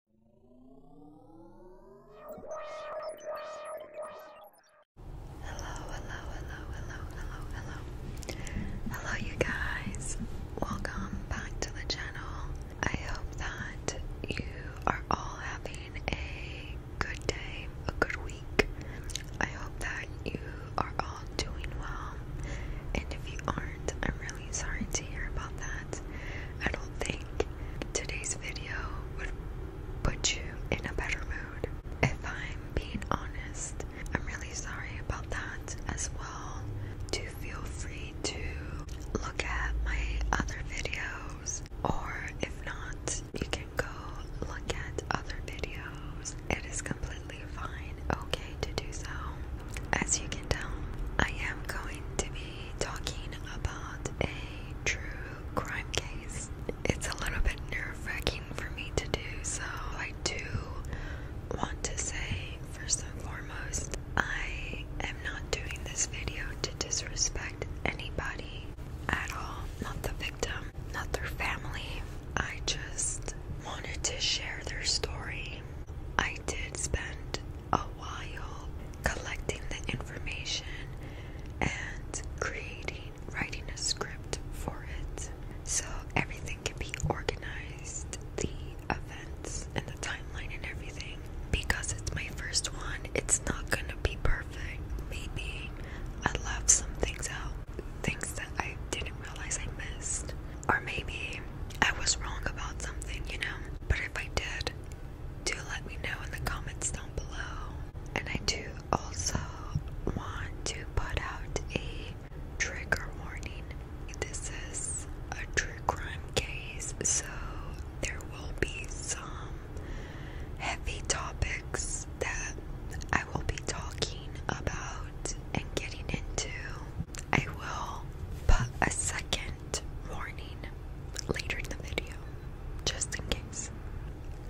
hello, hello, hello, hello, hello. Hello, you guys. Welcome back to the channel. I hope that you are all having a good day, a good week. I hope that you are all doing well. And if you aren't, I'm really sorry to hear about that. I don't think today's video would put you in a better mood. If I'm being honest, I'm really sorry about that as well. Do feel free to look at my other videos, or if not, you can go look at other videos. It is completely fine, okay, to do so. As you can tell, I am going to be talking about a true crime case. It's a little bit nerve wracking for me to do, so I do want to say, first and foremost, I am not doing this video to disrespect anybody at all. Not the victim, not their family. I just wanted to share their story. I did spend a while collecting the information and creating, writing a script for it. So everything can be organized, the events and the timeline and everything. Because it's my first one, it's not gonna be perfect. Maybe I left some things out, things that I didn't realize I missed. Or maybe I was wrong about something, you know? But if I did, do let me know in the comments down below. And I do also want to put out a trigger warning. This is a true crime case, so there will be some heavy topics that I will be talking about and getting into. I will put a second warning later in the video, just in case.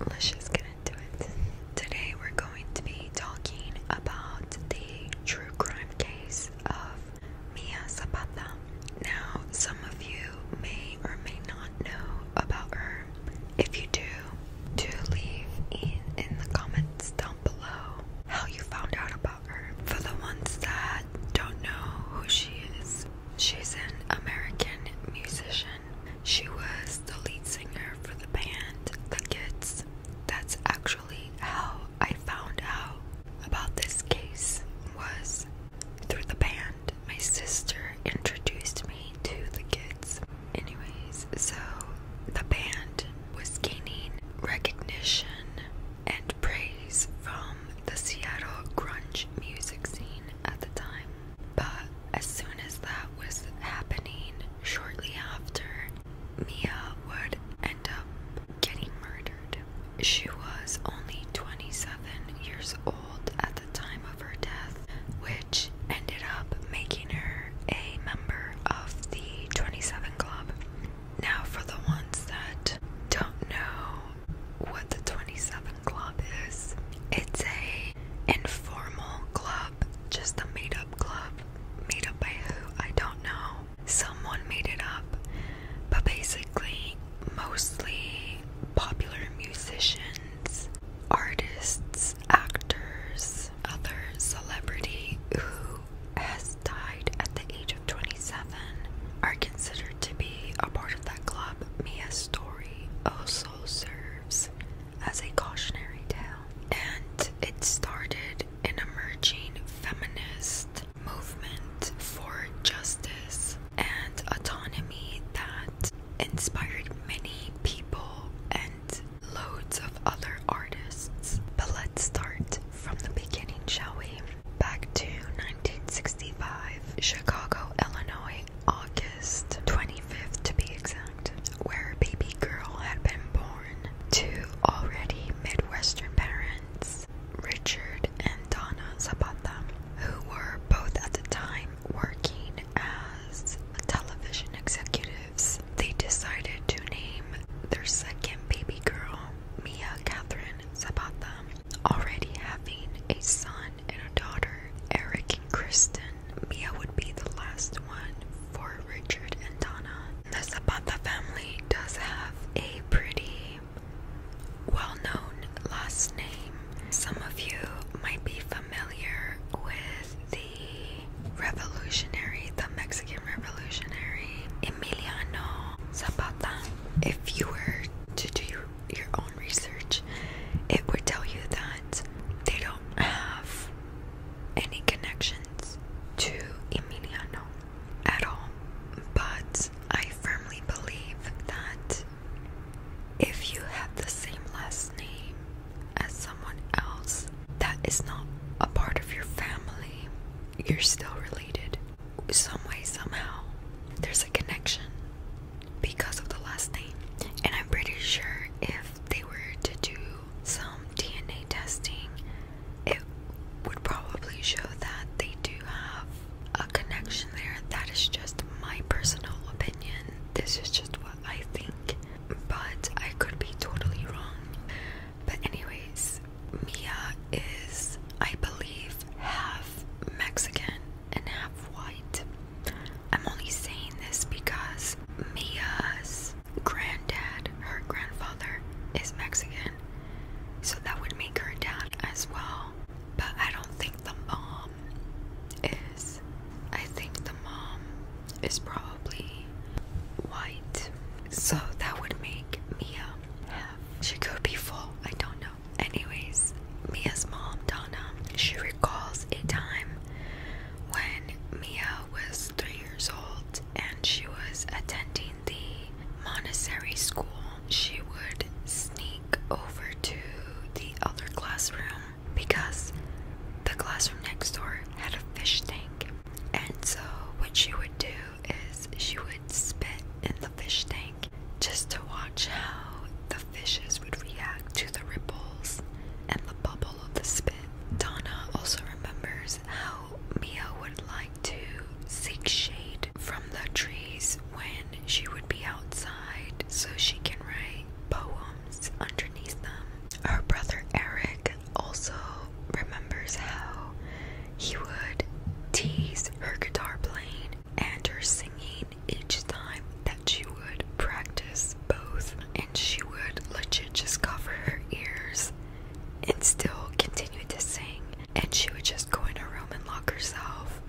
Let's just get into it. Today we're going to be talking about the true crime case of Mia Zapata. Now, some of you may or may not know about her. If you do, do leave in, in the comments down below how you found out about for the ones that don't know who she is, she's an American musician. She was the lead singer for the band The Kids. That's actually how I found out about this case was through the band. My sister introduced me to The Kids. Anyways, so the band was gaining recognition and praise from the Seattle grunge music scene at the time. But as soon as that was happening, shortly after, Mia would end up getting murdered. She was only 27 years old at the time of her death, which ended up making her a member of the 27 Club. Now, for the ones that don't know what the 27 Club is, it's a informal club, just a made up club. Made up by who? I don't know. Someone made it up, but basically, mostly popular musicians, artists, actors, other celebrity who has died at the age of. 27 are considered to be a part of that club, Mia's story also serves as a cautionary tale. And it started an emerging feminist movement for justice and autonomy that inspired many people and loads of other artists. But let's start from the beginning, shall we? Back to 1965, Chicago, Illinois, August 25th to be exact, where a baby girl had been born to already Midwestern parents, Richard and Donna Zapata, who were both at the time working as television executives. They decided to name their second baby girl Mia Catherine Zapata Already having a son and a daughter, Eric and Kristen, Mia would be the last one for Richard and Donna. The Zapata family does have a pretty well known last name. Some of you might be familiar with the revolutionary, the Mexican revolutionary, Emiliano Zapata if you were to do your, own research, it would tell you that they don't have any connections to Emiliano at all. But I firmly believe that if you have the same last name as someone else that is not a part of your family, you're still related some way, somehow, there's a connection because of the last name. And I'm pretty sure if they were to do some DNA testing, it would probably show that they do have a connection there. That is just my personal opinion. This is just what I think, but I could be totally wrong. But, anyways, Mia is, I believe, half Mexican and half white. I'm only saying this because Mia's granddad, her grandfather, is Mexican. So that would make her dad as well. But I don't think the mom is. I think the mom is probably white. So that would make Mia she could be full, I don't know. Anyways, Mia's mom, Donna, she recalls a time when Mia was three years old and she was attending the monastery school. She would sneak over to the other classroom because the classroom next door had a fish tank. And so, what she would do is she would spit in the fish tank just to watch how the fishes would react to the ripples and the bubble of the spit. Donna also remembers how Mia would like to seek shade from the trees when she would be outside so she can write poems underneath them. Her brother Eric also remembers how he would tease her guitar playing and her singing each time that she would practice both, and she would legit just cover her ears and still continue to sing. And she would just go in her room and lock herself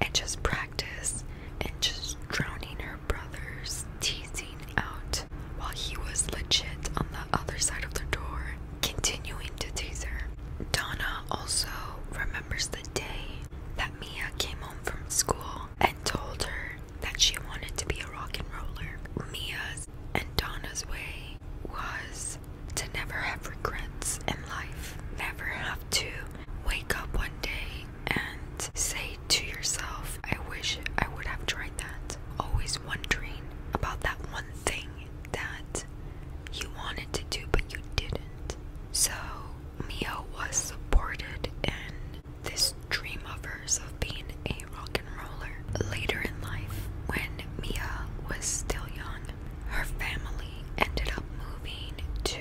and just practice and just drowning her brothers, teasing out while he was legit on the other side of the door, continuing to tease her. Donna also remembers the day that Mia came home from school and told her that she wanted to be a rock and roller. Mia's and Donna's way was to never have regrets in life, never have to wake up one day and say to yourself, I wish I would have tried that. Always wondering about that one thing that you wanted to do but you didn't. So Mia was supported in this dream of hers of being a rock and roller. Later in life, when Mia was still young, her family ended up moving to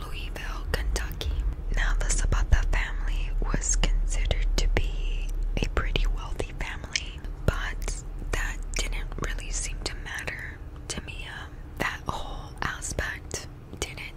Louisville, Kentucky. Now, the Sabata family was considered to be a pretty wealthy family, but that didn't really seem to matter to me. Um, that whole aspect didn't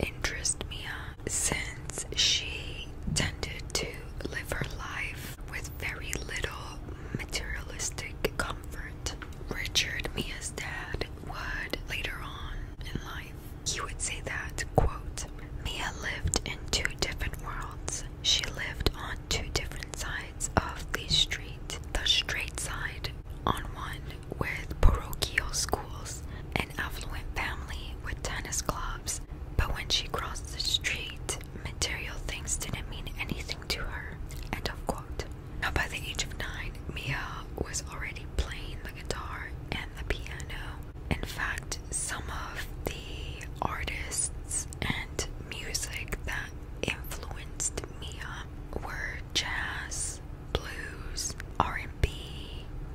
interest me uh, since she tended to live her life with very little materialistic comfort. Richard, Mia's dad, would later on in life, he would say that, quote, Mia lived in two different worlds. She lived on two different sides of the street, the straight side on one with parochial schools, an affluent family with tennis clubs. But when she crossed the street, material things didn't mean anything to her. End of quote. Now, by the age of nine, Mia was already playing the guitar and the piano. In fact, some of the artists and music that that influenced Mia were jazz, blues, R&B,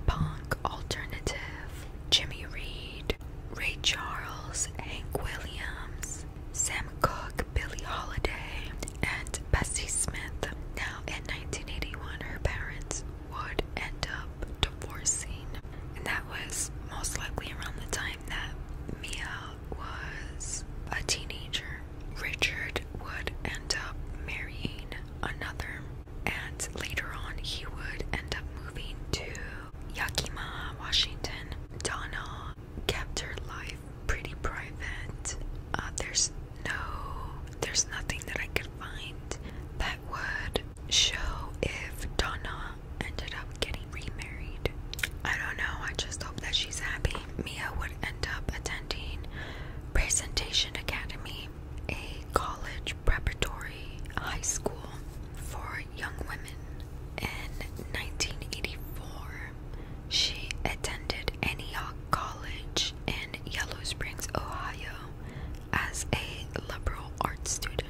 punk, alternative, Jimmy Reed, Ray Charles, Hank Williams, Sam Cooke, Billie Holiday, and Bessie Smith. Now, in 1981, her parents would end up divorcing, and that was most likely around the time that Mia was a teenager, Richard would end up marrying another, and later on, he would end up moving to Yakima, Washington. Donna kept her life pretty private. Uh, there's no, there's nothing that I could find that would show if Donna ended up getting remarried. I don't know, I just hope that she's happy. Mia would end up attending Presentation Academy, a college preparatory high school for young women. In 1984, she attended Antioch College in Yellow Springs, Ohio, as a liberal arts student.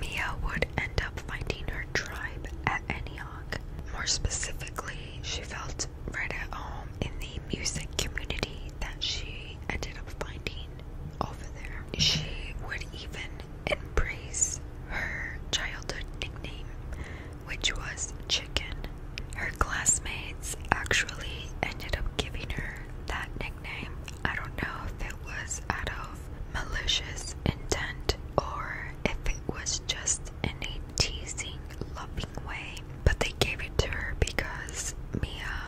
Mia would end up finding her tribe at Antioch. More specifically, she felt right at home in the music community that she ended up finding over there. She would even embrace her childhood nickname, which was Chicken. Her classmates actually ended up giving her that nickname. I don't know was out of malicious intent or if it was just in a teasing, loving way. But they gave it to her because Mia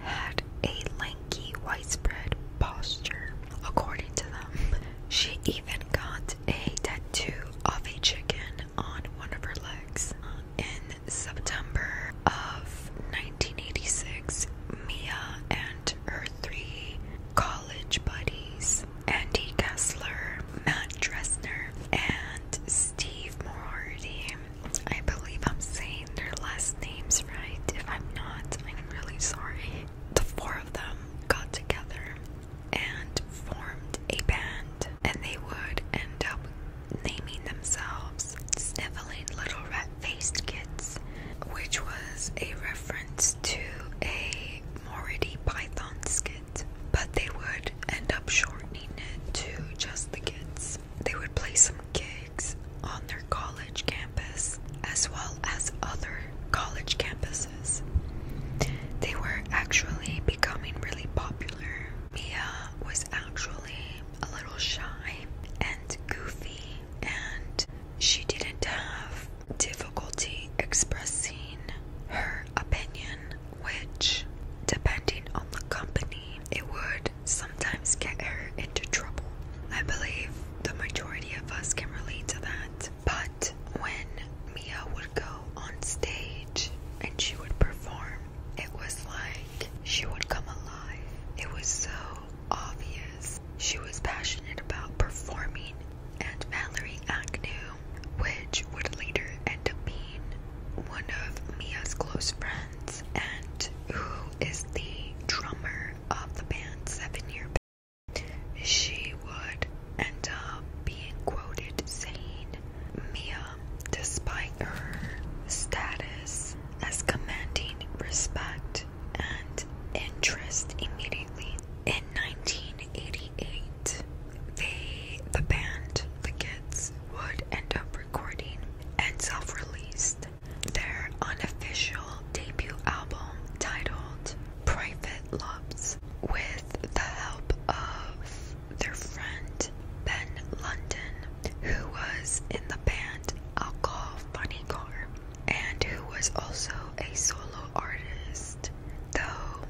had a lanky, widespread posture, according to them. She even got a tattoo of a chicken on one of her legs. In September of 1986, Mia and her three college buddies Andy Kessler, Matt Dressner, and Steve Morardi. I believe I'm saying their last names right. If I'm not, I'm really sorry. The four of them got together and formed a band, and they would end up naming themselves Sniveling Little Rat Faced Kids, which was a reference to a Morty Python skit, but they would end up shortening it to just the kids. They would play some gigs on their college campus as well as other college campuses. They were actually becoming really popular. Mia was actually a little shy and goofy, and she didn't have difficulty expressing her opinion, which, depending on the company, it would sometimes get her into trouble. I believe the majority of us can relate to that. But when Mia would go on stage and she would perform, it was like she would come alive. It was so obvious. She was passionate about performing and Valerie Agnew, which would later end up being one of Mia's close friends and who is the drummer of the band Seven Year Band. She would end up being quoted saying, Mia, despite her status as commanding respect and rent interest immediately. In 1988, they, the band, the kids, would end up recording and self released their unofficial debut album titled Private Loves with the help of their friend Ben London, who was in the band Alcohol Funny Car and who was also a solo artist, though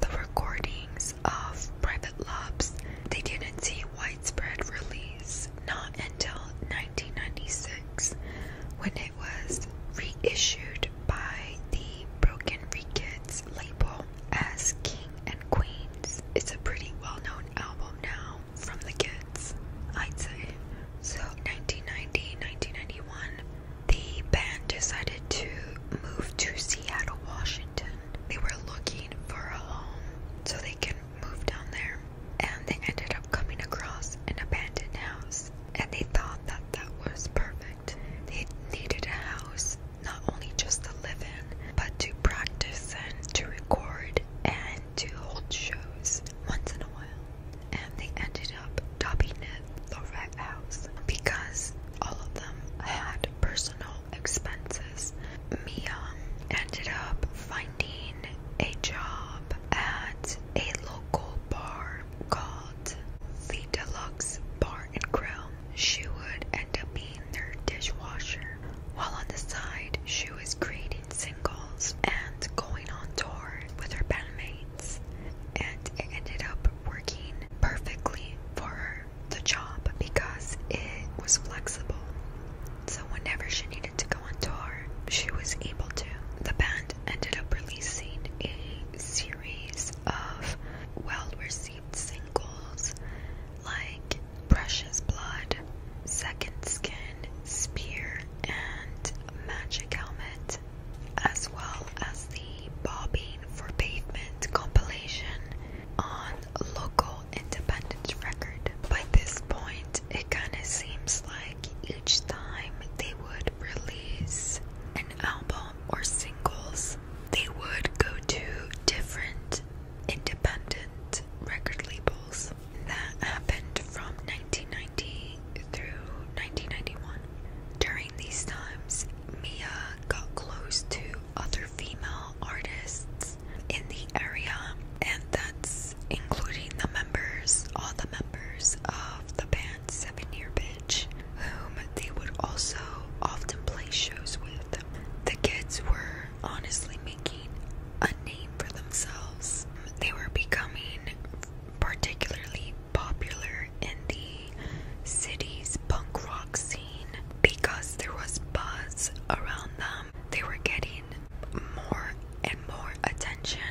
the recordings of Private Lobs they didn't see widespread release not until 1996 when it was reissued by the Broken Free label as King and Queens. It's a pretty well-known album now from the kids, I'd say. So 1990, 1991, the band decided to move to Seattle, Washington. They were looking for a home so they could move down there, and they ended up coming across an abandoned house. And they thought that that was perfect. They needed a house not only just to live in, but to practice and to record and to hold shows once in a while and they ended up dubbing it the Red House because all of them had personal expenses. Mia ended up finding a job at a local bar called the Deluxe Bar and Grill. She would end up being their dishwasher. While on the side, she was creating singles and going on tour with her bandmate and it ended up working perfectly for the job, because it was flexible. So, whenever she needed to go on tour, she was able to. The band ended up releasing a series of well received singles like Precious Blood, Second Skin, Spear, and Magic Helmet. Street, as well as the Bobbing for Pavement compilation on Local Independent Record. By this point, it kind of seems like each time they would release an album or singles, they would go to different independent record labels. That happened from 1990 through 1991. During these times, Mia got close to other female artists in the area, and that's including the members, all the members of the band Seven Year Bitch, whom they would also often play shows with. The kids were honestly making a name for themselves. They were becoming particularly popular in the city's punk rock scene because there was buzz around them. They were getting more and more attention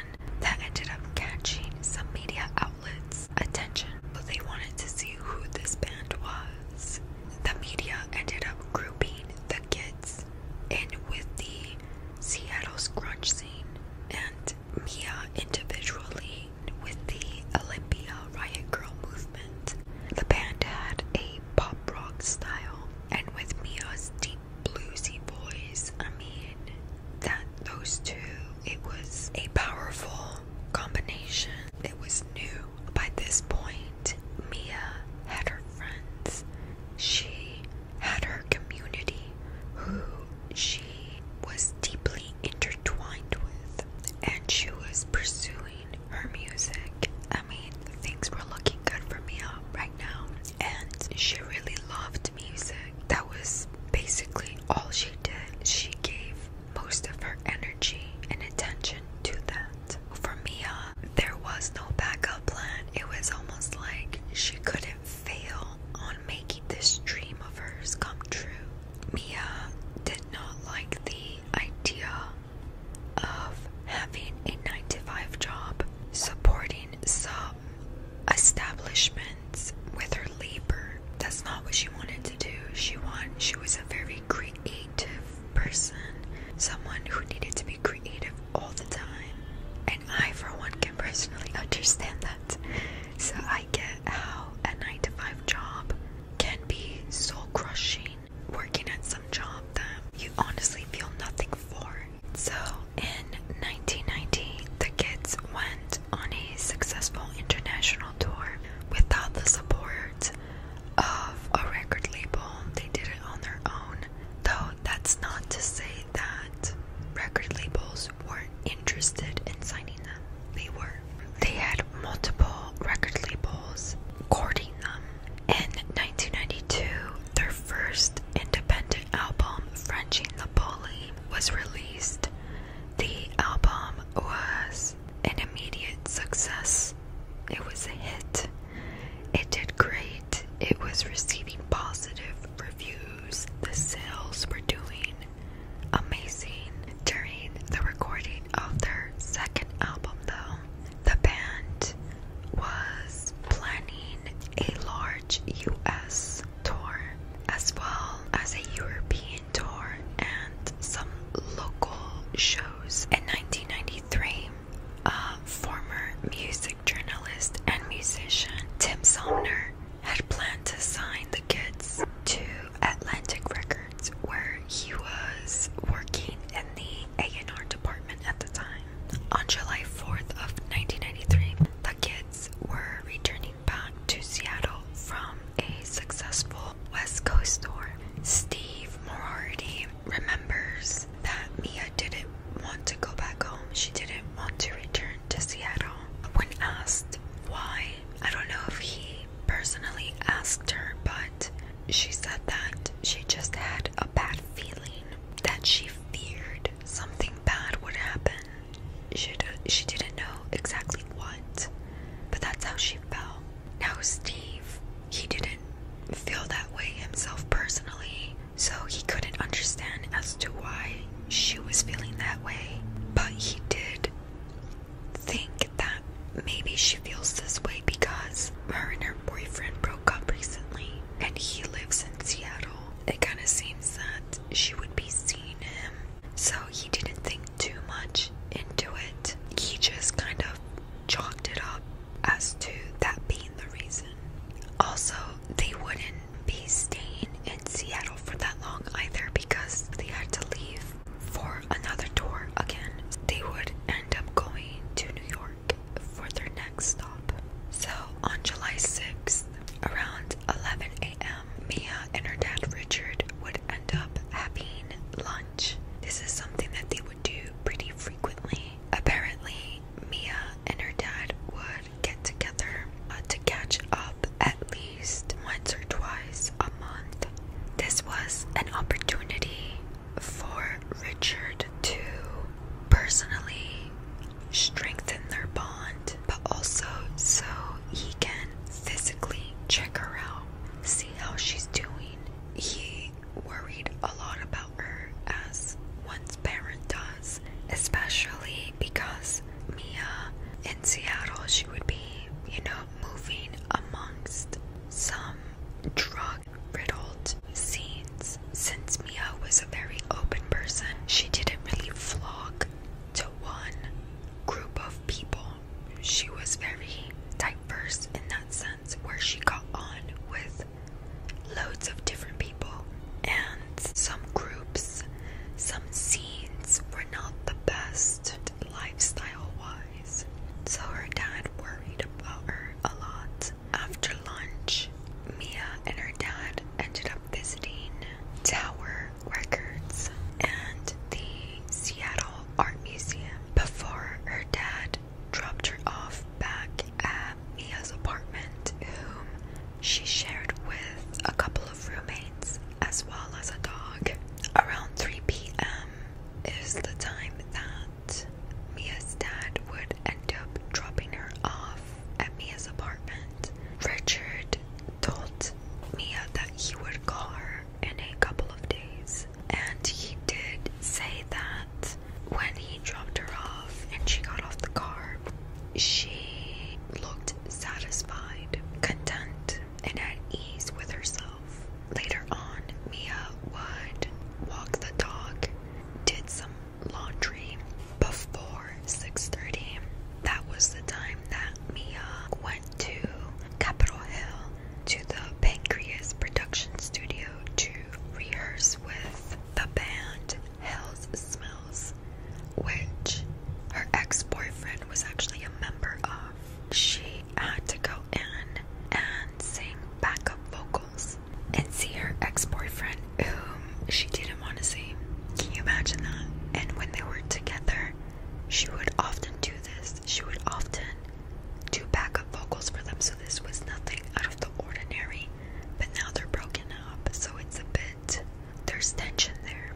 that ended up catching some media outlets' attention. But they wanted to see who this band was. The media ended up grouping the kids in with the Seattle grunge scene and Mia individually with the Olympia Riot Girl movement. The band had a pop rock style, and with Mia's deep bluesy voice, I mean, that those two, it was a powerful combination. It was new. By this point, Mia had her friends. She had her community, who she was deeply intertwined with, and she was pursuing her music. I mean, things were looking good for me right now, and she really loved music. That was basically all she did. She gave most of her energy and attention to that. For Mia, uh, there was no backup plan. It was almost like she couldn't fail on making this dream of hers come true. Mia did not like the idea of having a 9 to 5 job, supporting some establishments with her labor. That's not what she wanted to do. She want, she was a very creative person, someone who needed to be creative all the time. And I, for one, can personally understand that. So I get how a 9 to 5 job can be soul crushing, working at some job that you honestly feel nothing for. So in 1990, the kids went on a successful international tour without the support of a record label. They did it on their own. Though that's not to say that record labels weren't interested in signing them. They were. They had multiple record labels courting them. In 1992, their first independent album, Frenching the Bully, was released. The album was an immediate success. It was a hit. It did great. It was receiving positive reviews. The sales were doing amazing during the recording of their second album, though. The band was planning a large US tour as well as a European tour and some local shows. In 1993, former music journalist and musician Tim Somner had planned to sign the kids to Atlantic Records, where he was working in the A&R department at the time. On July 4th of 1993, the kids were returning back to Seattle from a successful West Coast tour. Steve Morardi remembers that Mia didn't want to go back home. She didn't want to return to Seattle. When asked why, I don't know if he personally asked her, but she said that she just had a bad feeling that she feared something bad would happen. She, she didn't know exactly what, but that's how she felt. Now, Steve, he didn't feel that way himself personally, so he couldn't understand as to why she was feeling that way, but he did think that maybe she feels this way because her and her boyfriend broke up recently and he lives in Seattle. It kind of seems that she would be seeing him, so he didn't think too much into it. He just kind of chalked it up as to that being the reason. Also, they wouldn't be staying in Seattle for that long either because they had to leave for another tour again. They would end up going to New York for their next stop. So on July 6th, around 11 a.m., Mia and her dad Richard would end up having lunch. This is something that they would do pretty frequently. Apparently, Mia and her dad would get together uh, to catch up at least once or twice a month. This was an opportunity for Richard to personally strengthen their bond, but also so he can physically check her out, see how she's doing. He worried a lot about her as one's parent does especially because Mia in Seattle, she would be, you know, moving amongst some drug riddled scenes. Since Mia was a very open person, she didn't really flock to one group of people. She was very diverse in that sense, where she got on with loads of different people and some groups, some scenes were not the best lifestyle wise. So her dad worried about her a lot. After lunch, Mia and her dad ended up visiting Tower Records and the Seattle Art Museum before her dad dropped her off back at Mia's apartment, whom she shared with a couple of roommates as well as a dog. Around 3 p.m. is the time that Mia's dad would end up dropping her off at Mia's apartment. Richard told Mia that he would call her in a couple of days, and he did say that when he dropped her off and she got off the car, she looked satisfied, content, and at ease with herself. Later on, Mia would walk the dog, did some laundry before 6:30. That was the time that Mia went to Capitol Hill to the Pancreas production studio to rehearse with the band Hell's Smells, which her ex boyfriend was actually a member of. She had to go in and sing backup vocals and see her ex boyfriend, whom she didn't want to see. Can you imagine that? And when they were together, she would often do this. She would often do backup vocals for them, so this was nothing out of the ordinary. But now they're broken up, so it's a bit there's tension there.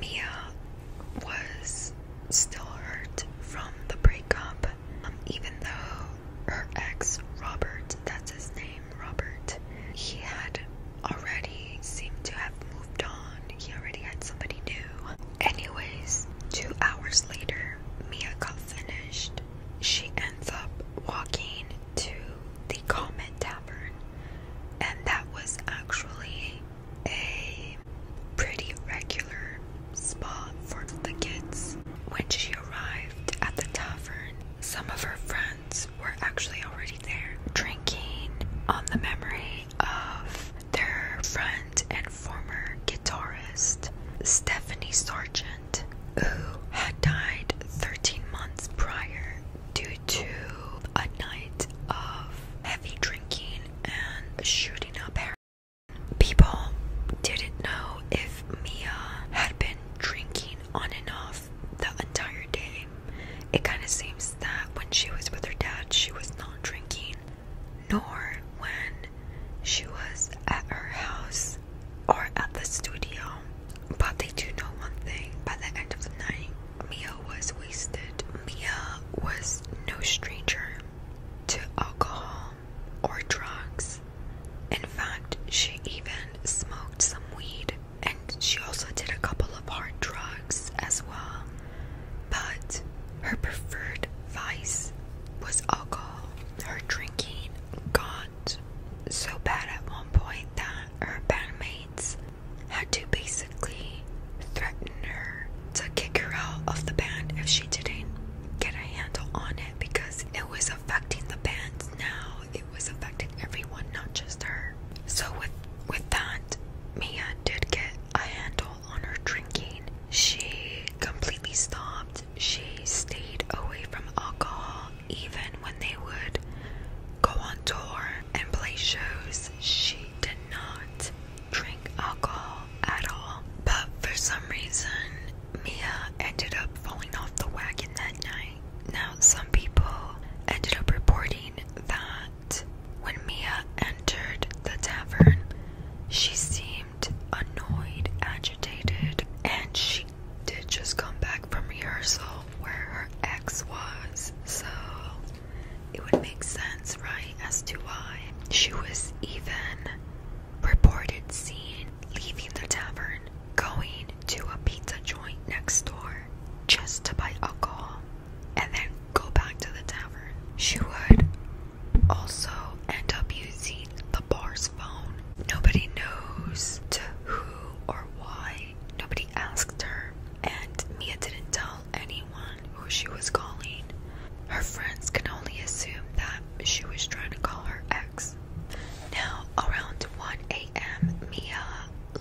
Mia was still hurt from the breakup, um, even though her ex, Robert, that's his name, Robert, he had already seemed to have moved on. He already had somebody new. Anyways, two hours later, Mia got finished. She ends up walking to the Comet Tavern and that was actually a pretty regular spot for the kids. When she arrived at the tavern, some of her friends were actually already there drinking on the memory of their friend and former guitarist Stephanie Sargent, who had died 13 months prior due to a night of heavy drinking and shooting up heroin. People didn't know if Mia had been drinking on and off the entire day. It kind of seems that when she was with her dad, she was not drinking, nor when she was at her house or at the studio. But they do know one thing by the end of the night, Mia was wasted. Mia was no stranger to alcohol or drugs. In fact, she even smoked some weed and she also did a couple of hard drugs as well. But her preferred vice was alcohol. Her drinking got so bad at one point that her bandmates had to basically threaten her to kick her out of the band if she didn't get a handle on it because it was affecting the band now. It was affecting everyone, not just her. So with with that, Mia did get a handle on her drinking. She completely stopped. She stayed away from alcohol even when they would go on tour and play shows. She did not drink alcohol at all. But for some reason, Mia ended up falling off the wagon that night. Now, some people ended up reporting that when Mia entered the tavern, she seemed annoyed, agitated, and she did just come back from rehearsal where her ex was, so it would make sense, right, as to why she was even reported seeing leaving the tavern, going to a pizza joint next door just to buy alcohol, and then go back to the tavern. She would also end up using the bar's phone. Nobody knows to who or why nobody asked her, and Mia didn't tell anyone who she was calling. Her friends can only assume that she was trying to call her ex. Now, around 1 a.m., Mia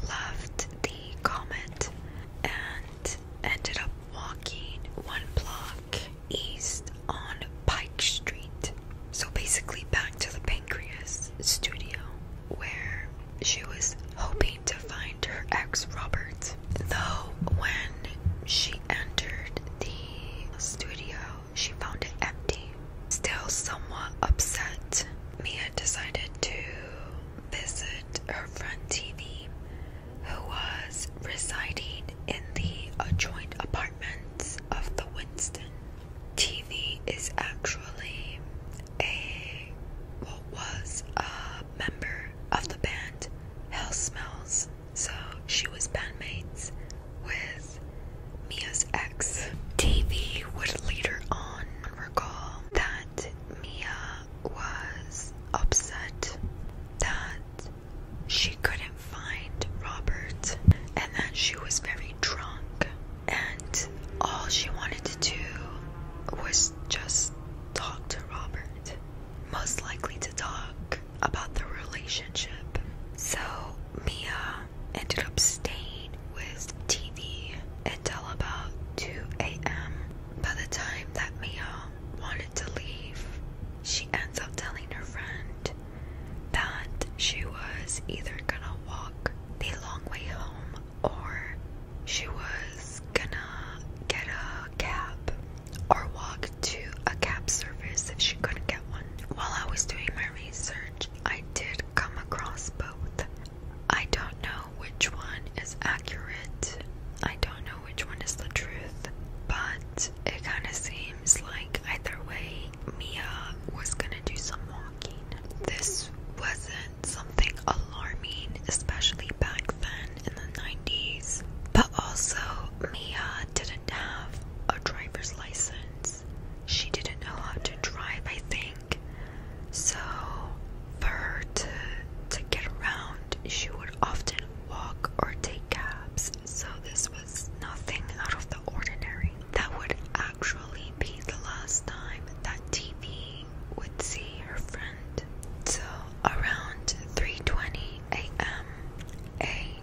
left the comment and ended up walking one block east on Pike Street. So basically, back to the Pancreas studio where she was hoping to find her ex Robert. Though, when she entered the studio, she found it empty. Still somewhat upset, Mia decided to visit her friend TV, who was residing in the adjoined apartments of the Winston. TV is actually a what was a member of the band Hell Smells. So she was bandmates with Mia's ex. TV would later on recall that Mia was upset that she couldn't find Robert and that she was very drunk and all she wanted to do was just talk to Robert, most likely to talk about the relationship. So Mia ended up staying with TV until about 2 a.m. By the time that Mia wanted to leave, she ends up telling her friend that she was either gonna walk the long way home, or she was gonna get a cab or walk to a cab service if she couldn't get one. While I was doing my research, I did come across both. I don't know which one is accurate, I don't know which one is the truth, but it kind of seems like either way, Mia was gonna do some walking. This wasn't something alarming, especially back then in the 90s. But also, Mia didn't have a driver's license. She didn't know how to drive, I think. So, for her to, to get around, she would often walk or take cabs. So, this was nothing out of the ordinary that would actually be the last time that TV would see her friend. So around 3:20 a.m., a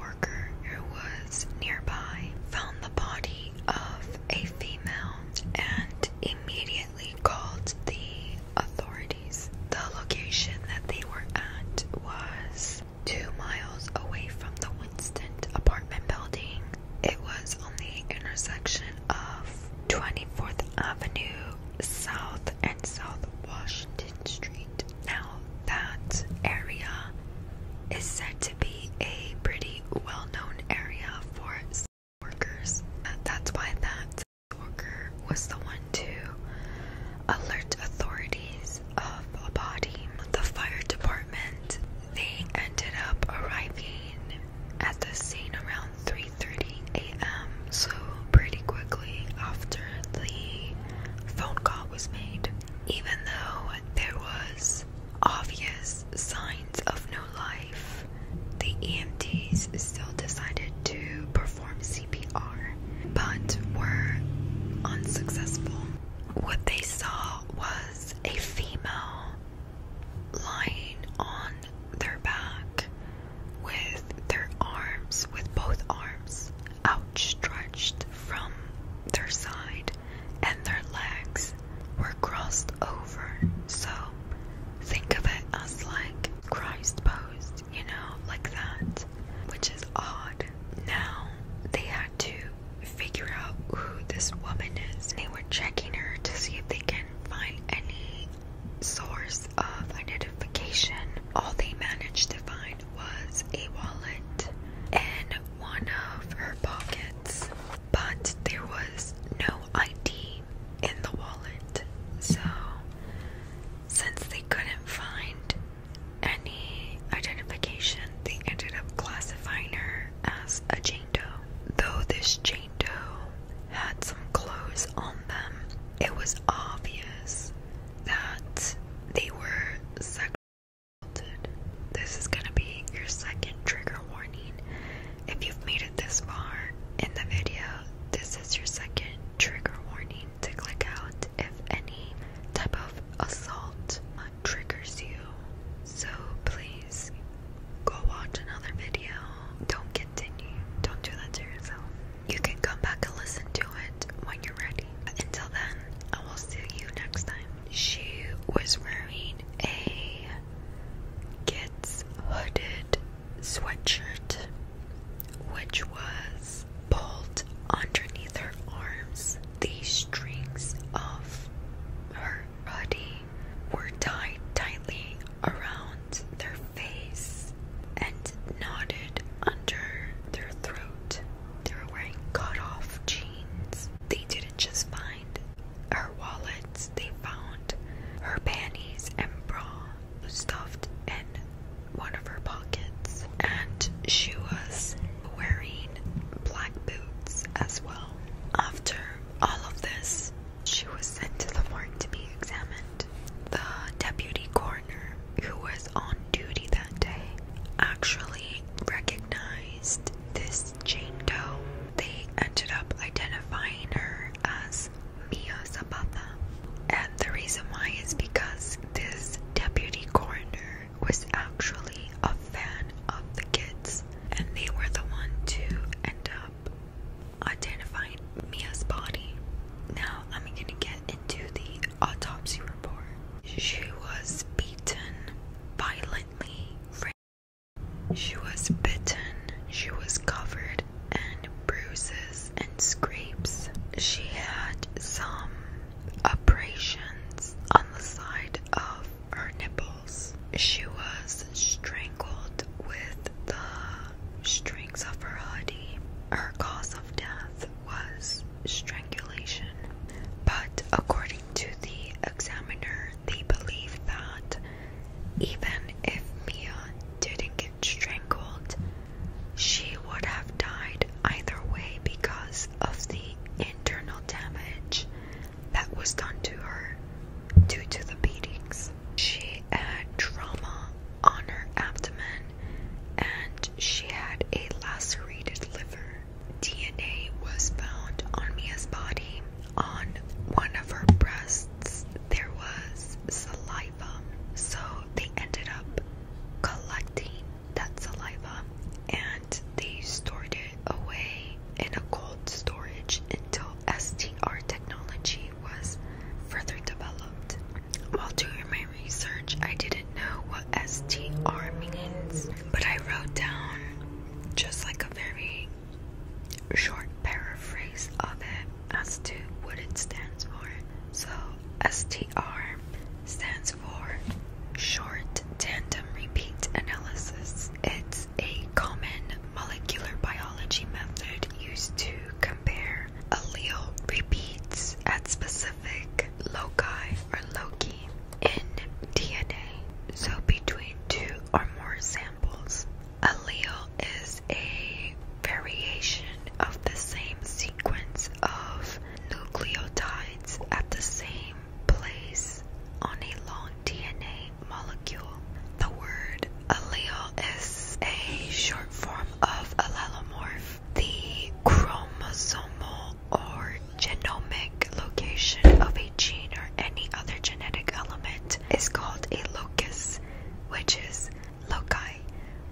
worker who was nearby found the body of a female and immediately called the authorities. The location that they were at was two miles away from the Winston apartment building it was on the intersection of 24th Avenue South and South Washington Street. Now, that area is said to be a pretty well known area for sex workers. Uh, that's why that worker was the one to alert authorities of a body. The fire department they ended up arriving at the scene around 3:30 a.m. so pretty quickly after the phone call was made. Even though there was obvious signs of no life, the EMTs still decided to perform CPR but were unsuccessful. What they saw was a female lying on their back with their arms, with both arms outstretched from their side, and their legs were crossed over. So think of it as like Christ posed, you know, like that, which is odd. Now they had to figure out who this woman is. They were checking her to see if they can find any source of identification. All they managed to find was a wallet in one of her pockets, but there was no ID in the wallet. So, since they couldn't find any identification, they ended up classifying her as a Jane Doe. Though this Jane Doe had some clothes on them, it was obvious that they were sexually assaulted. This is going to be your second trigger warning. If you've made it this far in the video, this is your second trigger warning to click out if any type of assault triggers you. So please go watch another video. Don't continue. Don't do that to yourself. You can come back and listen to it when you're ready. Until then, I will see you next time. She was wearing a kids hooded sweatshirt, which was pulled underneath her arms. The strings of her body were tied tightly around their face and knotted under their throat. They were wearing cut off jeans. They didn't just find her wallets, they found her panties and bra stuffed in one of her pockets. And she was wearing black boots as well. After all of this, she was sent to the morgue to be examined. The deputy coroner, who was on duty that day, actually recognized this Jane Doe. They ended up identifying her as Mia Sabata, And the reason why is because this deputy coroner was actually a fan of the kids and they were the one to end up identifying Mia's body. Now I'm gonna get into the autopsy report. She was beaten violently. She was bitten. She was covered in bruises and scrapes. She had some abrasions on the side of her nipples. She was strangled with the strings of her hoodie. Her cause of death was strangulation, but according to the examiner, they believe that even if Mia didn't get strangled, she would have died either way because of the internal damage that was done to her due to the beatings. She had trauma on her abdomen and she had a lacerated liver. DNA was found on Mia's body. On one of her breasts, there was saliva. So they ended up collecting that saliva and they stored it away in a cold storage until STR technology was further developed. While doing my research, I didn't know what STR means, but I wrote down just like a very short paraphrase of it as to what it stands for. So, STR stands for Short Tandem Repeat Analysis. It's a common molecular biology method used to compare allele repeats at specific loci or loci in DNA, so between two or more samples. Allele is a variation of the same sequence of nucleotides at the same Place on a long DNA molecule. The word allele is a short form of allelomorph. The chromosomal or genomic location of a gene or any other genetic element is called a locus, which is loci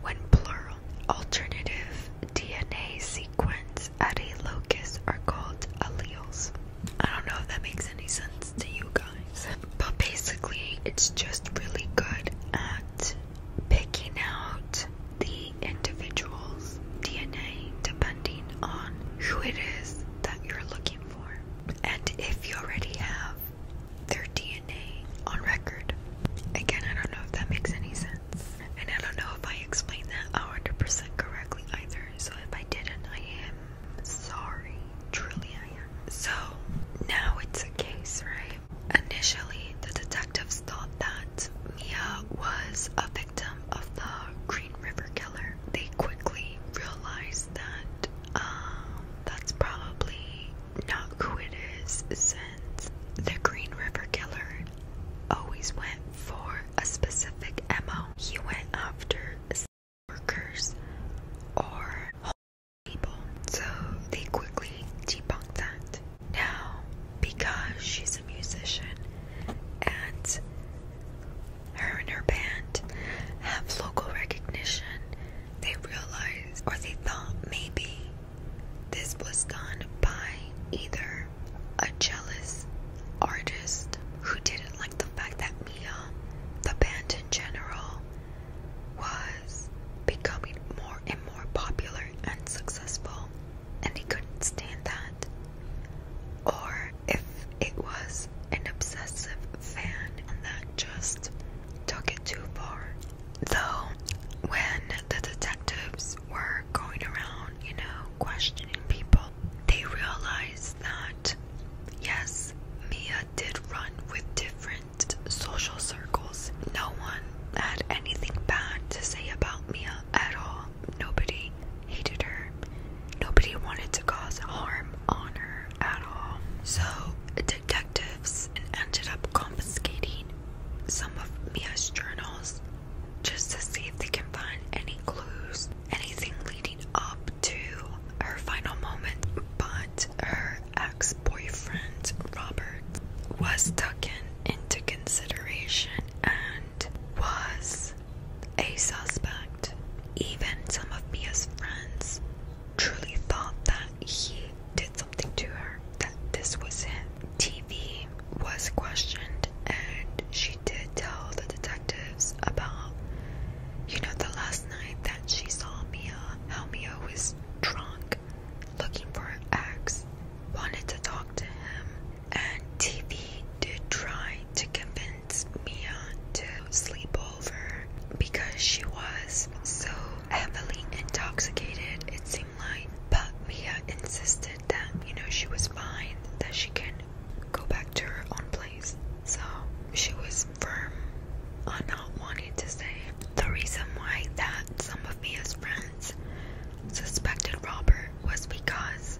when plural. Alternative DNA sequence at a locus are called alleles. I don't know if that makes any sense to you guys, but basically, it's just really good at picking out the individual's DNA depending on who it is that you're looking for, and if you already have their DNA on record. Again, I don't know if that makes any sense, and I don't know if I explained that 100% correctly either so if I didn't, I am sorry. Truly, I am. So now it's a case, right? Initially, the detectives thought that Mia was a victim of the Green River Killer. They quickly realized that um, that's probably not who it is since the Green River Killer always went for a specific MO. He went after workers or people. So they quickly debunked that. Now, because she's a musician and her and her band have local recognition, they realized or they thought maybe this was done by either a jealous artist who didn't like the fact that Mia, the band in general, was becoming more and more popular and successful, and he couldn't stand that. Or if it was an obsessive fan that just took it too far. Though, when the detectives were going around, you know, questioning people, they realized that, yes, Mia did run with different social circles. No one had anything bad to say about Mia at all. Nobody hated her. Nobody wanted to cause harm on her at all. So, detectives ended up confiscating some of Mia's journals just to see if they can find any clues, anything leading up to her final moment. But her ex boyfriend, Robert, was taken into consideration and was a suspect. Even some of Mia's friends truly thought that he did something to her, that this was him. TV was questioned and she she did tell the detectives about, you know, the last night that she saw Mia, how Mia was drunk, looking for her ex, wanted to talk to him, and TV did try to convince Mia to sleep over because she was so heavily intoxicated, it seemed like. But Mia insisted that, you know, she was fine, that she can go back to her own place. So she was firm on not wanting to stay. The reason why that some of Mia's friends suspected Robert was because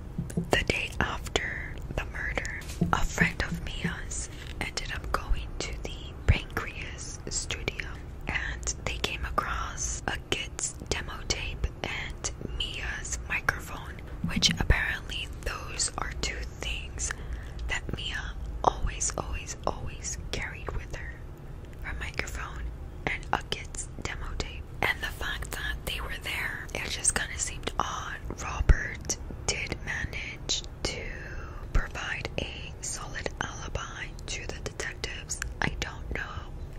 the day after the murder, a friend of Mia's ended up going to the Pancreas studio and they came across a kid's demo tape and Mia's microphone, which apparently those are two things that Mia always, always, always carried with her her microphone and a kid's demo tape. And the fact that they were there, it just kind of seemed odd. Robert did manage to provide a solid alibi to the detectives. I don't know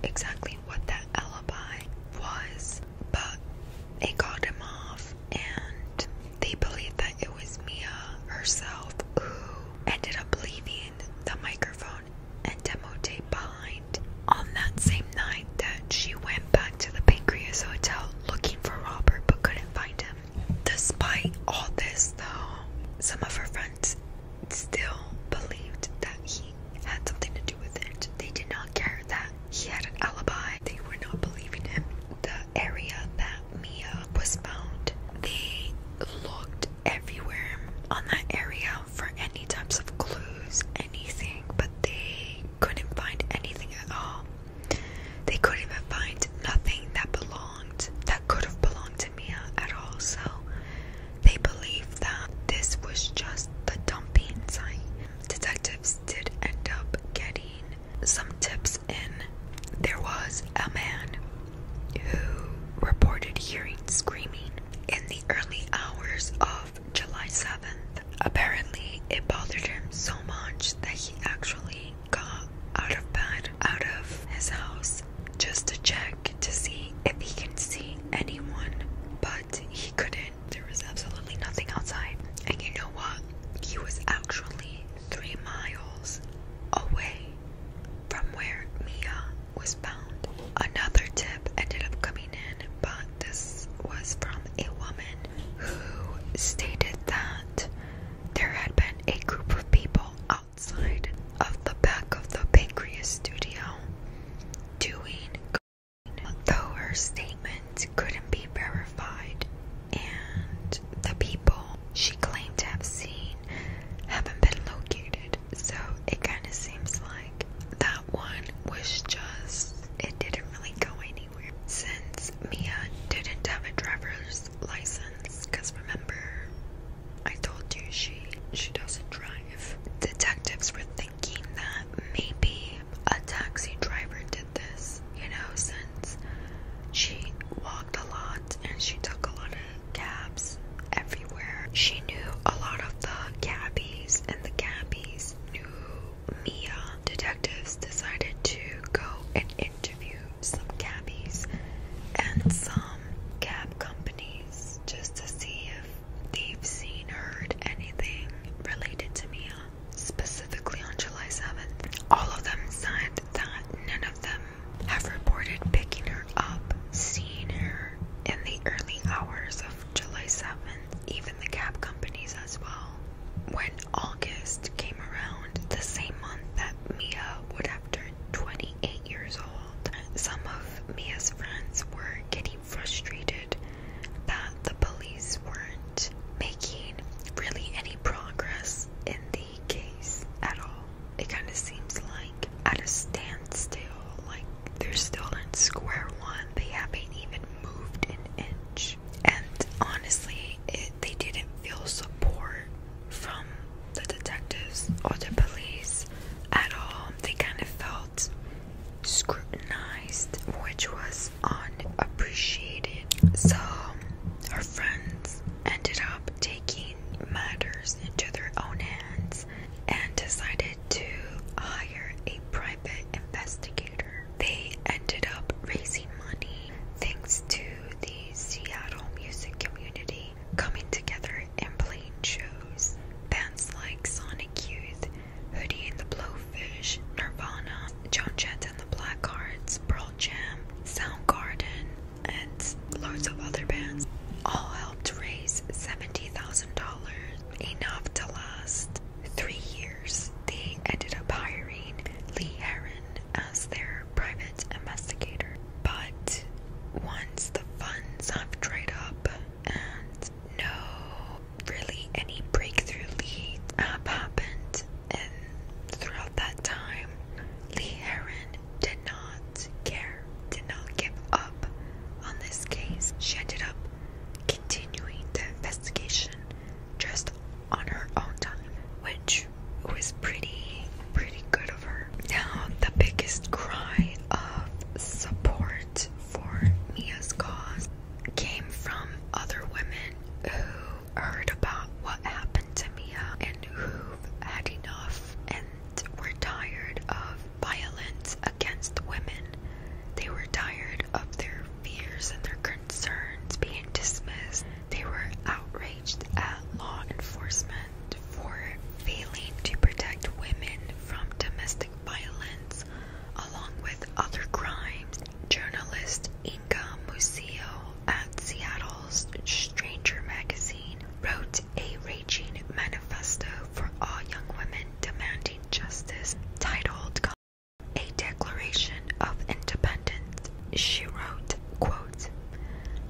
exactly what that alibi was, but they called him off, and they believed that it was Mia herself who ended up leaving the microphone and demo tape behind. On that same night, that she went back to the Pancreas Hotel looking for Robert but couldn't find him. Despite all this, though, some of her friends still believed that he had something to do with it. They did not care that he had an alibi. They were not believing him. The area that Mia was found, they looked everywhere on that area for any types of clues, anything, but they couldn't find anything at all. They couldn't even find nothing that belonged, that could have belonged to Mia at all. So they believed that this was just the dumping site. Detective did end up getting some tips in. There was a man who reported hearing screaming in the early hours of July 7th. Apparently, it bothered him so much that he actually got out of bed, out of his house, just to check to see if he can see anyone. But he couldn't. There was absolutely nothing outside. And you know what? He was actually three miles away from where Mia was found. Another tip ended up coming in, but this was from a woman who stated that there had been a group of people outside of the back of the pancreas studio doing Though her statement couldn't be verified, and the people she claimed to have seen haven't been located, so it kind of seems like that one was just, it didn't really go anywhere. Since Mia didn't have a driver's license, because remember, I told you she she doesn't drive. Detectives were thinking that maybe a taxi driver did this, you know, since she walked a lot and she took a lot of cabs everywhere. She knew a lot of the cabbies, and the cabbies knew Mia. Detectives decided to go and interview some cabbies and some cab companies just to see if they've seen, heard anything related to Mia, specifically on July 7th. All of them said that none of them have reported picking her up, seeing her in the early hours of July 7th, even the cab companies as well. When August came around, the same month that Mia would have turned 28 years old, some of Mia's friends were getting frustrated that the police weren't making really any progress in the case at all. It kind of seems like at a standstill, like they're still in square one, they haven't even moved an inch. And honestly, it, they didn't feel support from the detectives or the police at all. They kind of felt scrutinized, which was unappreciated. So her friends ended up taking matters into their own hands and decided to hire a private investigator. They ended up raising money thanks to the Seattle music community coming together and playing shows. Bands like Sonic Youth, Hoodie and the Blowfish, Nirvana, Joan Jett and the Blackhearts, Pearl Jam, Soundgarden, and loads of other bands all helped raise $70,000, enough to last three years. They ended up hiring Lee Heron as their private investigator. But once the funds have dried up and no really any breakthrough lead up uh, happened, and throughout that time, Lee Heron did not care, did not give up on this case. She ended up continuing the investigation just on her own time, which was pretty, pretty good of her. Now, the biggest cry of support for Mia's cause came from other women who heard about what happened to Mia and who had enough and were tired of violence against women. They were tired of their fears and their concerns being dismissed. They were outraged at law enforcement for failing to protect women from domestic violence along with other crimes. Journalist Inga Museo at Seattle's Stranger Magazine wrote a raging manifesto for all young women demanding justice titled A Declaration of Independence. She wrote, quote,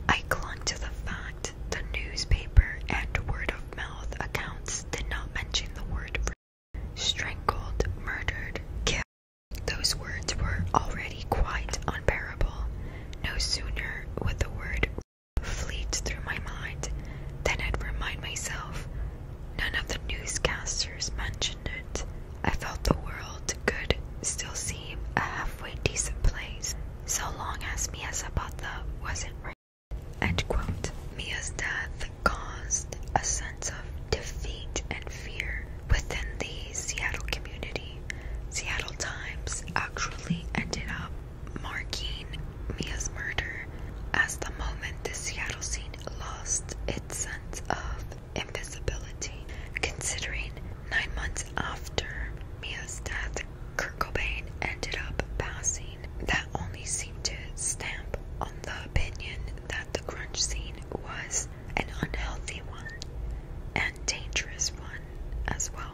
I clung to the fact the newspaper and word of mouth accounts did not mention the word Strangled, murdered, killed. Those words were already quite unbearable. No sooner would the word fleet through my mind than I'd remind myself none of the newscasters mentioned it. I felt the world could still seem a halfway decent place, so long as Mia wasn't End quote. Mia's death caused a sense of defeat and fear within the Seattle community. Seattle Times actually ended up marking Mia's murder as the moment the Seattle scene lost its sense of invisibility. Considering nine months after Mia's death, Kurt Cobain ended up passing. That only scene seemed to stamp on the opinion that the crunch scene was an unhealthy one and dangerous one as well.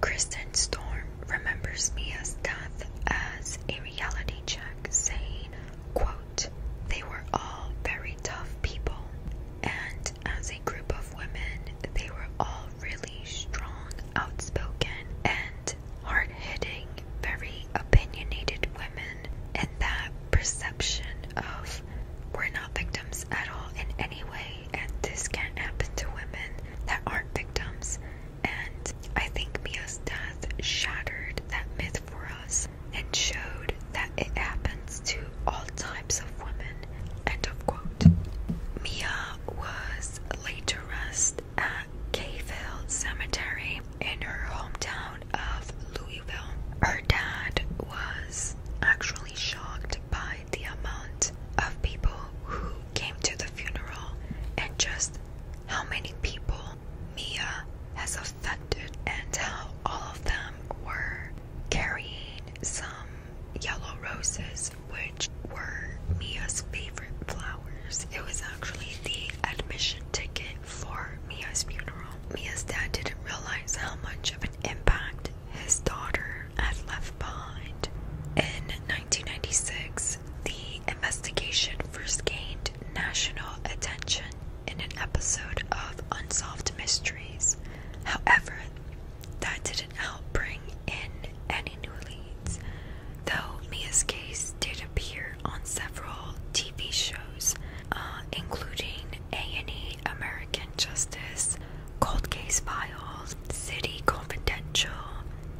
Kristen Storm remembers Mia's death as a reality check, saying, quote, they were all very tough people, and as a group of women, they were all really strong, outspoken, and hard hitting very opinionated women, and that perception of we're not victims at all in any way, and this can't happen to women that aren't victims. And I think Mia's death shattered that myth for us and showed that it happens to all types of women. End of quote. Mia was laid to rest at Gayville Cemetery in her hometown of Louisville. Her dad was actually shocked by the amount of people who came to the funeral and just how many people Mia has affected, and how all of them were carrying some yellow roses, which were Mia's favorite flowers. It was actually the admission ticket for Mia's funeral. Mia's dad didn't realize how much of an impact his daughter had left behind. In 1996, the investigation first gained national attention in an episode of Unsolved Mysteries. However, that didn't help bring in any new leads. Though Mia's case did appear on several TV shows, uh, including A&E American Justice, Cold Case Files, City Confidential,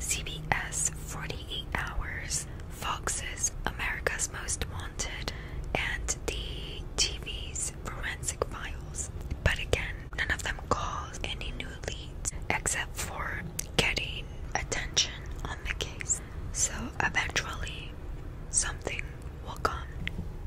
CBS 48 Hours, Fox's America's Most Wanted, and the TV's Forensic Files. But again, none of them caused any new leads except for getting attention so eventually, something will come.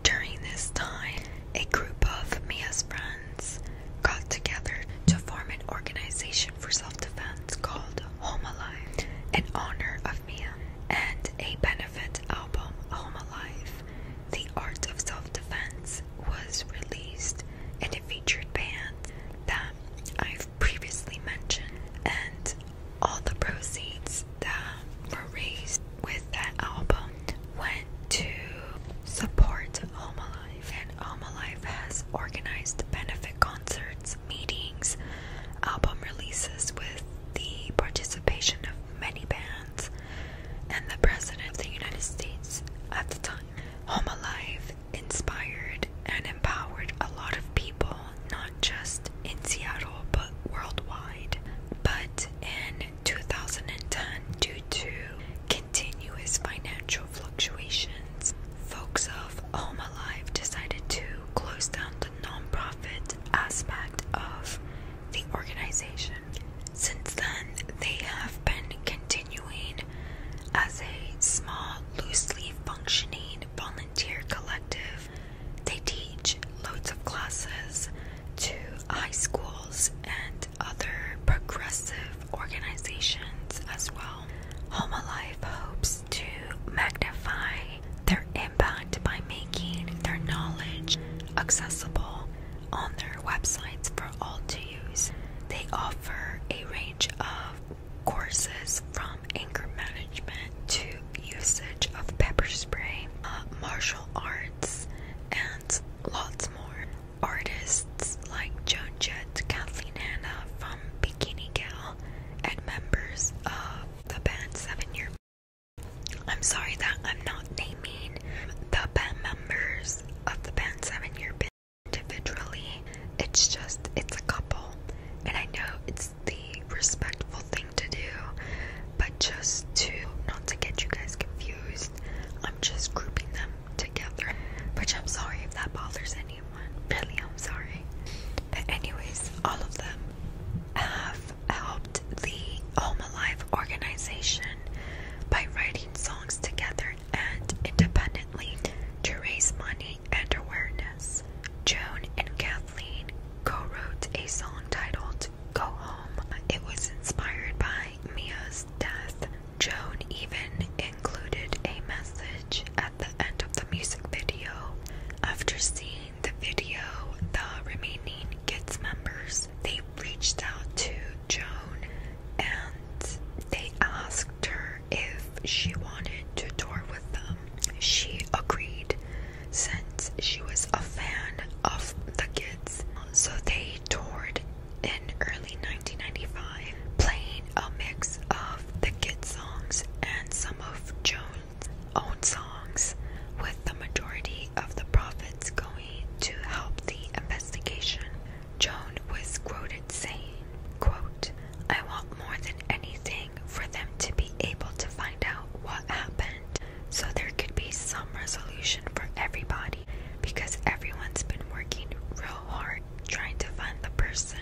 During this time, a group of Mia's friends got together to form an organization for self defense called Home Alive in honor of Mia and a benefit album, Home Alive The Art of Self Defense, was released and it featured bands that I previously mentioned, and all the proceeds that were raised with that album went to support Alma Life, and Alma Life has organized benefit concerts, meetings, album releases with the participation of many bands and the President of the United States at the time. Home Alive inspired and empowered a lot of people, not just in Seattle but worldwide. But in 2010, due to continuous financial fluctuations, folks of Home Alive decided to close down the nonprofit aspect of the organization. Since then, they have been continuing as a small, loosely functioning volunteer collective. They teach loads of classes to high schools and other progressive organizations as well. Home Alive hopes to magnify their impact by making their knowledge accessible on their websites for all to use. They offer a range of courses from anger management to usage of pepper spray, uh, martial arts, and lots more. Artists like Joan Jett, Kathleen Hanna from Bikini Gal, and members of the band Seven Year. I'm sorry that I'm not naming the band members of the band Seven Year individually. It's just, it's a couple. And I know it's the respectful thing to do, but just to not to get you guys confused, I'm just grouping them together. Which I'm sorry if that bothers anyone. Really, I'm sorry. But, anyways, all of them have helped the Home Alive organization by writing songs together and independently to raise money and awareness, Joan and Kathleen co wrote a song titled Go Home. It was inspired by Mia's death. Joan even included a message at the end of the music video. After seeing the video, the remaining kids members they reached out to Joan and they asked her if she wanted to tour with them. She agreed since she was a fan of the kids. So they toured in early 1995, playing a mix of the kids' songs and some of Jones' own songs, with the majority of the profits going to help the investigation. Joan was quoted saying, I want more than anything for them to be able to find out what happened so there could be some resolution for everybody because everyone's been working real hard trying to find the person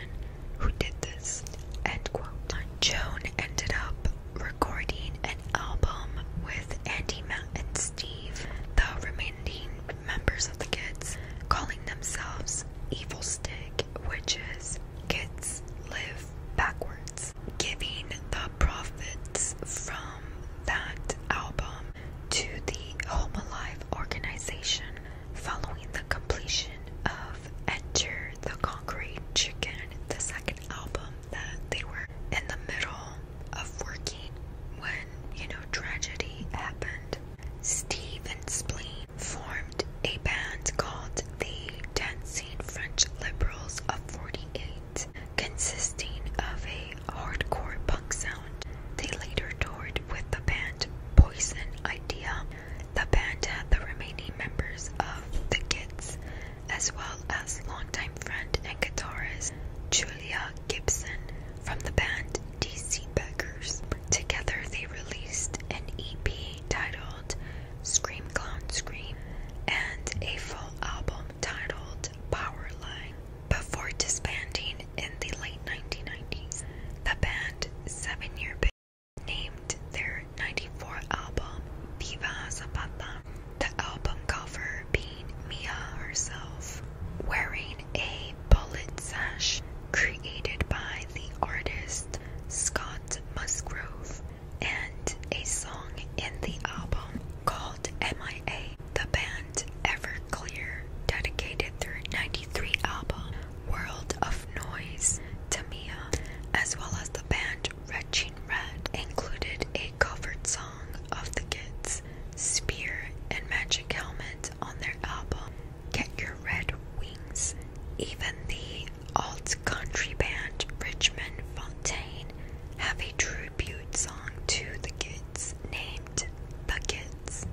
who did this. End quote. Joan ended up recording an album with Andy, Matt, and Steve, the remaining members of the kids, calling themselves Evil Stick which is kids live backwards. Giving the profits from that album to the Home Alive organization following the completion of Enter the Concrete Chicken, the second album that they were in the middle of working when, you know, tragedy happened. Steve and Spleen formed a band called the Dancing French Liberals of 48, consisting of a hardcore punk sound. They later toured with the band Poison Idea. The band had the remaining members of The Kids, as well as longtime friend and guitarist Julia Gibson. From the band DC Beggars. Together, they released an EP titled Scream Clown Scream and a full album titled Powerline before disbanding in the late 1990s. The band Seven Year Big named their 94 album Viva Zapata, the album cover being Mia herself wearing a bullet sash created by the artist Scott Musgrove, and a song in the album called MIA. The band Everclear dedicated their 93 album World of Noise to Mia, as well as the band Retching Red included a covered song of the Kids, Spear, and Magic Helmet on their album Get Your Red Wings. Even the alt country band Richmond Fontaine have a tribute song to the kids named The Kids.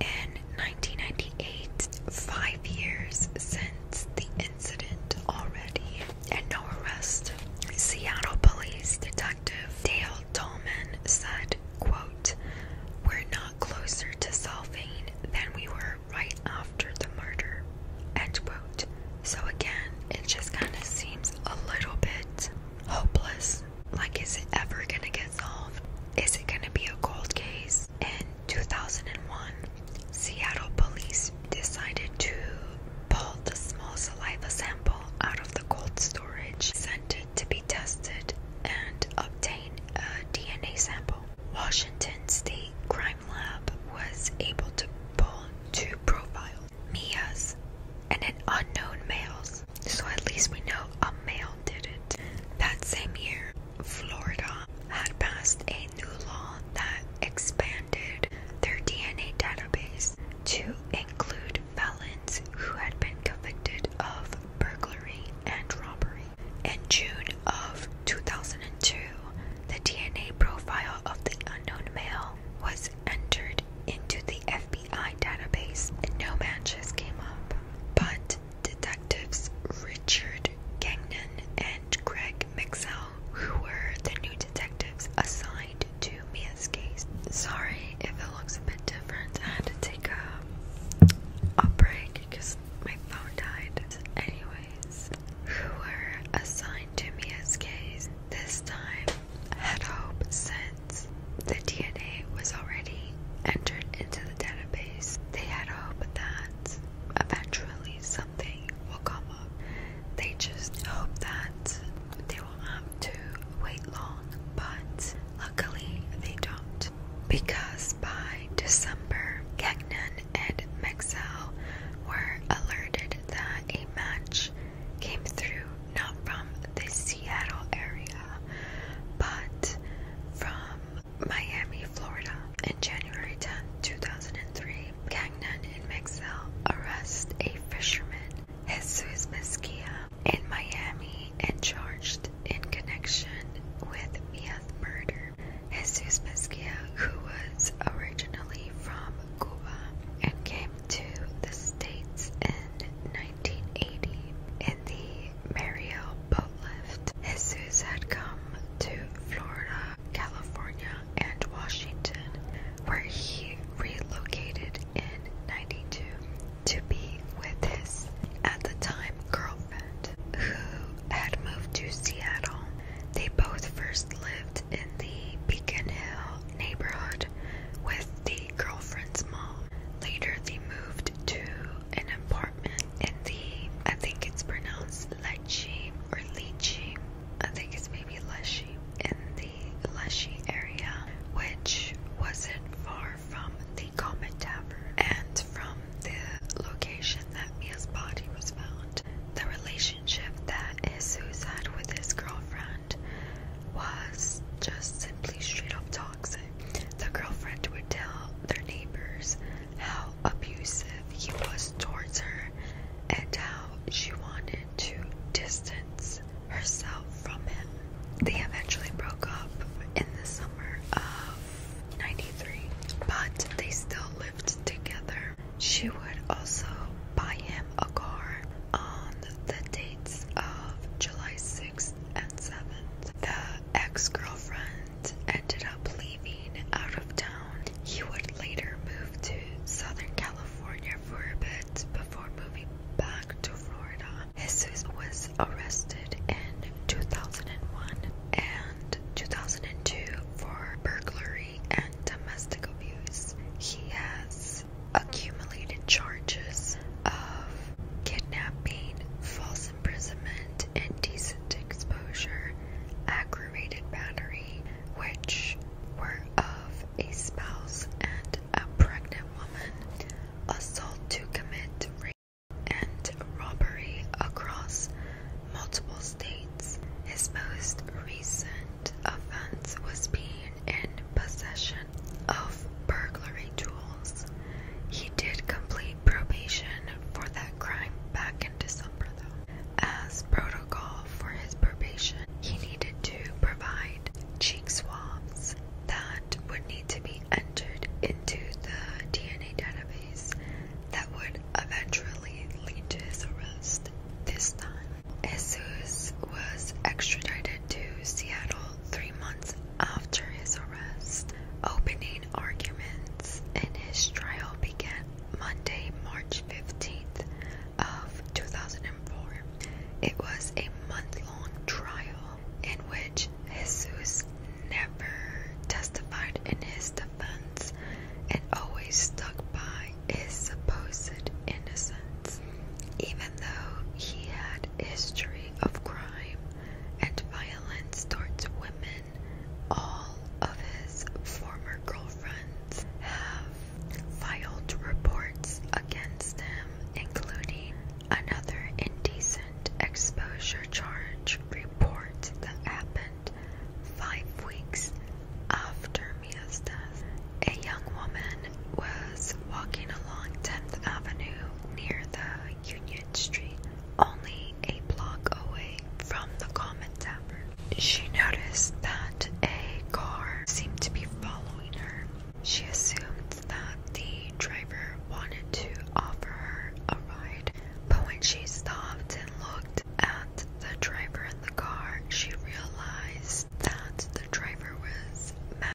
In 1998, five years since the incident already, and no arrest, Seattle Police Detective Dale Tollman said, quote, we're not closer to solving than we were right after the murder. So again, it just kind of seems a little bit hopeless. Like, is it ever gonna get solved? Is it gonna be a cold case? In 2001, Seattle police decided to pull the small saliva sample out of the cold storage, sent it to be tested and obtained a DNA sample. Washington State Crime Lab was able to pull two profiles Mia's and an unknown male's. So at least we know a male did it. That same year, Florida had passed a new law that expanded their DNA database to include felons who had been convicted of burglary and robbery. In June of 2002, the DNA profile of the unknown male was entered into the FBI database and no matches came up. But detectives Richard Gagnon and Greg Mixell, who were the new detectives assigned to Mia's case. Sorry if it looks a bit different. I had to take a, a break because my phone died. Anyways, who were assigned to me as K's this time had hope since the DNA was already entered into the database. They had hope that eventually something will come up. They just hope that they won't have to wait long, but luckily they don't because by December, Gagnon and Mexel were alerted that a match came through not from the Seattle area but from Miami, Florida. In January 10, 2003, Gagnon and Mexel arrest a fisherman, Jesus Mesquia, in Miami and charged in connection with Mia's murder. Jesus Mesquia, who was originally from Cuba and came to the States in 1980 in the Mario boatlift, Jesus had come to Florida, California, and Washington, where he relocated in 92 to be with his, at the time, girlfriend girlfriend, who had moved to Seattle. They both first lived in the Beacon Hill neighborhood with the girlfriend's mom. Later, they moved to an apartment in the, I think it's pronounced Lecce or Leachy. I think it's maybe Leshy in the Leshy area, which wasn't far from the the Comet Tavern and from the location that Mia's body was found. The relationship that Isus had with his girlfriend was just simply straight up toxic. The girlfriend would tell their neighbors how abusive he was towards her and how she wanted to distance herself from him. They eventually broke up in the summer of 93, but they still lived together. She would also buy him a car on the dates of July 6th and 7th. The ex girlfriend ended up leaving out of town. He would later move to Southern California for a bit before moving back to Florida. Jesus was arrested in 2001 and 2002 for burglary and domestic abuse. He has accumulated charges of kidnapping, false imprisonment, indecent exposure, aggravated battery, which were of a spouse and a pregnant woman, assault to commit rape and robbery across multiple states. His most recent offense was being in possession of burglary tools. He did complete probation for that crime back in December, though. As protocol for his probation, he needed to provide cheek swabs that would need to be entered into the DNA database that would eventually lead to his arrest this time. Jesus was extradited to Seattle three months after his arrest. Opening arguments in his trial began Monday, March 15th of 2004. It was a month-long trial in which Jesus never testified in his defense and always stuck by his supposed innocence, even though he had a history of crime and violence towards women. All of his former girlfriends have filed reports against him, including another indecent exposure charge report that happened five weeks after Mia's death. A young woman was walking along 10th Avenue near the Union Street, only a block away from the Common Tavern. She noticed that a car seemed to be following her. She assumed that the driver wanted to offer her a ride, but when she stopped and looked at the driver in the car, she realized that the driver was mad.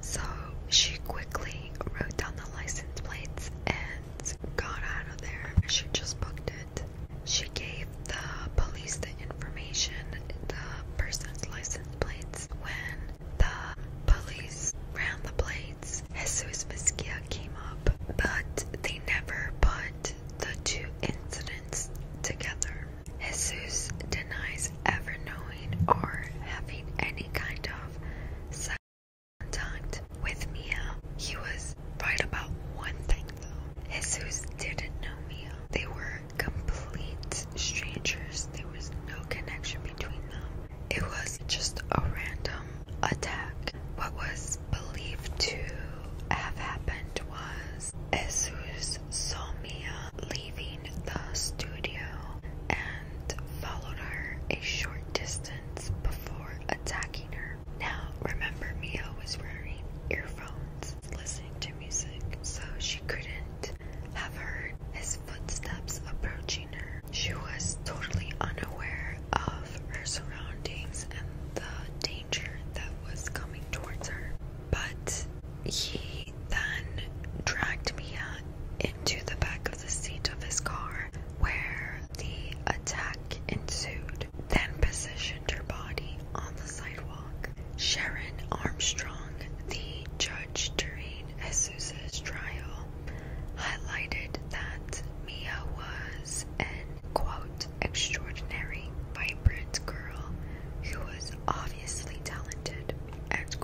So she quickly wrote down the license plates and got out of there. She just booked it. She gave the police the information, the person's license plates. When the police ran the plates. Jesus Mesquia came up, but they never put the two incidents together. Jesus denies ever knowing or having any kind of contact with Mia. He was right about one thing though. Jesus didn't know Mia. They were complete strangers. There was no connection between them. It was just a random attack. What was believed to have happened was Esu's saw Mia leaving the studio and followed her a short distance before attacking her. Now, remember, Mia was wearing earphones, listening to music, so she couldn't have heard his footsteps approaching. She was totally unaware of her surroundings and the danger that was coming towards her. But he then dragged Mia into the back of the seat of his car where the attack ensued, then positioned her body on the sidewalk. Sharon Armstrong, the judge during Esuza's trial, highlighted that Mia was an extraordinary, vibrant girl who was obviously talented. End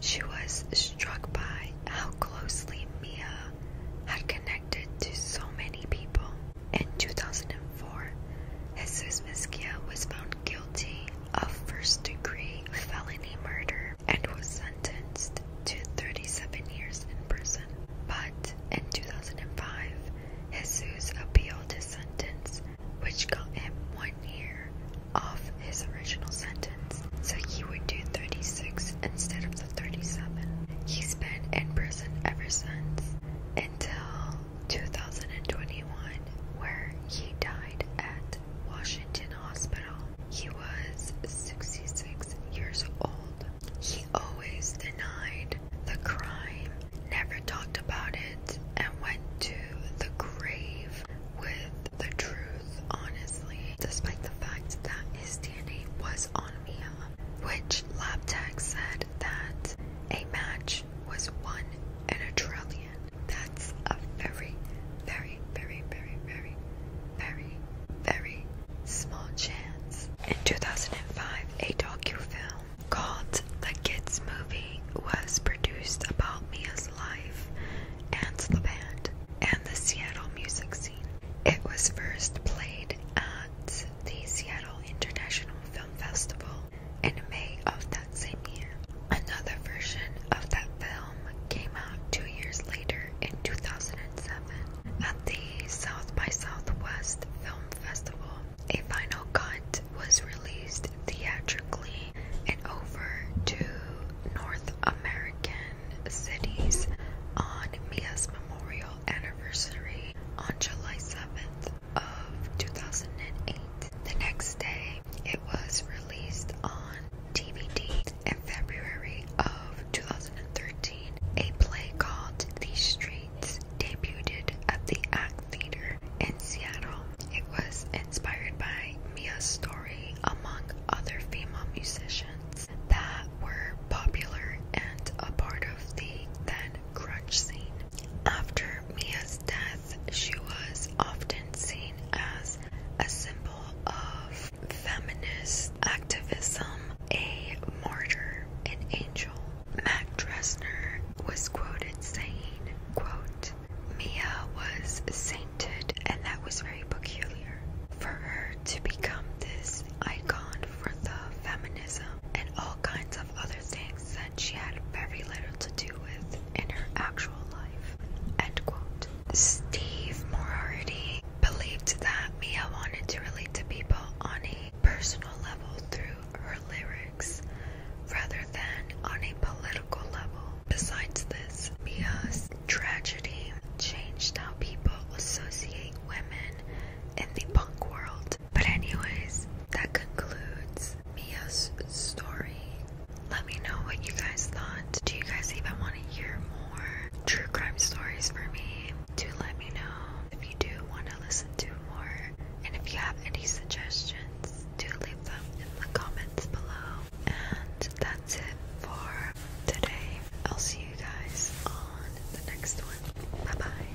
She was struck by how closely Mia had connected to so many people. In 2004, Jesus Mesquia was found guilty of first degree felony murder and was sentenced to 37 years in prison. But in 2005, Jesus appealed his sentence, which got him one year off his original sentence, so he would do 36 instead of the 37. He's been in prison ever since until 2021, where he died at Washington Hospital he was 66 years old. He always denied the crime, never talked about it, and went to the grave with the truth, honestly, despite the fact that his DNA was on Mia, which LabTech said that a match was one in a trillion. That's a very, very very, very, very, very, very, small chance. In 2005, a docu-film called The Kids Movie was produced about Mia's life and the band and the Seattle music scene. It was first played at the Seattle International Film Festival in May of that same year. Another version of that film came out two years later in 2007 at the South by Southwest Film Festival. A final cut was released theatrically in over two North American cities on Mia's memorial anniversary on July 7th of 2008. The next day, it was released on DVD in February of 2013, a play called The Streets debuted at the Act Theater in Seattle. It was inspired by Mia's story, among other female musicians that were popular and a part of the then grunge scene. After Mia's death, she was often seen as a symbol of feminist activism, a martyr, an angel. Mac Dresner was quoted saying, quote, Mia was sainted and that was very peculiar. For her to become this icon for the feminism and all kinds of other things that she had very little to do with in her actual life. End quote. Steve Morardi believed that Mia wanted to relate to people on a personal level through her lyrics rather than on a political level. Besides this, Mia's tragedy changed how people associate women in the punk world. But anyways, that concludes Mia's story let me know what you guys thought. Do you guys even want to hear more true crime stories for me? Do let me know if you do want to listen to more. And if you have any suggestions, do leave them in the comments below. And that's it for today. I'll see you guys on the next one. Bye bye.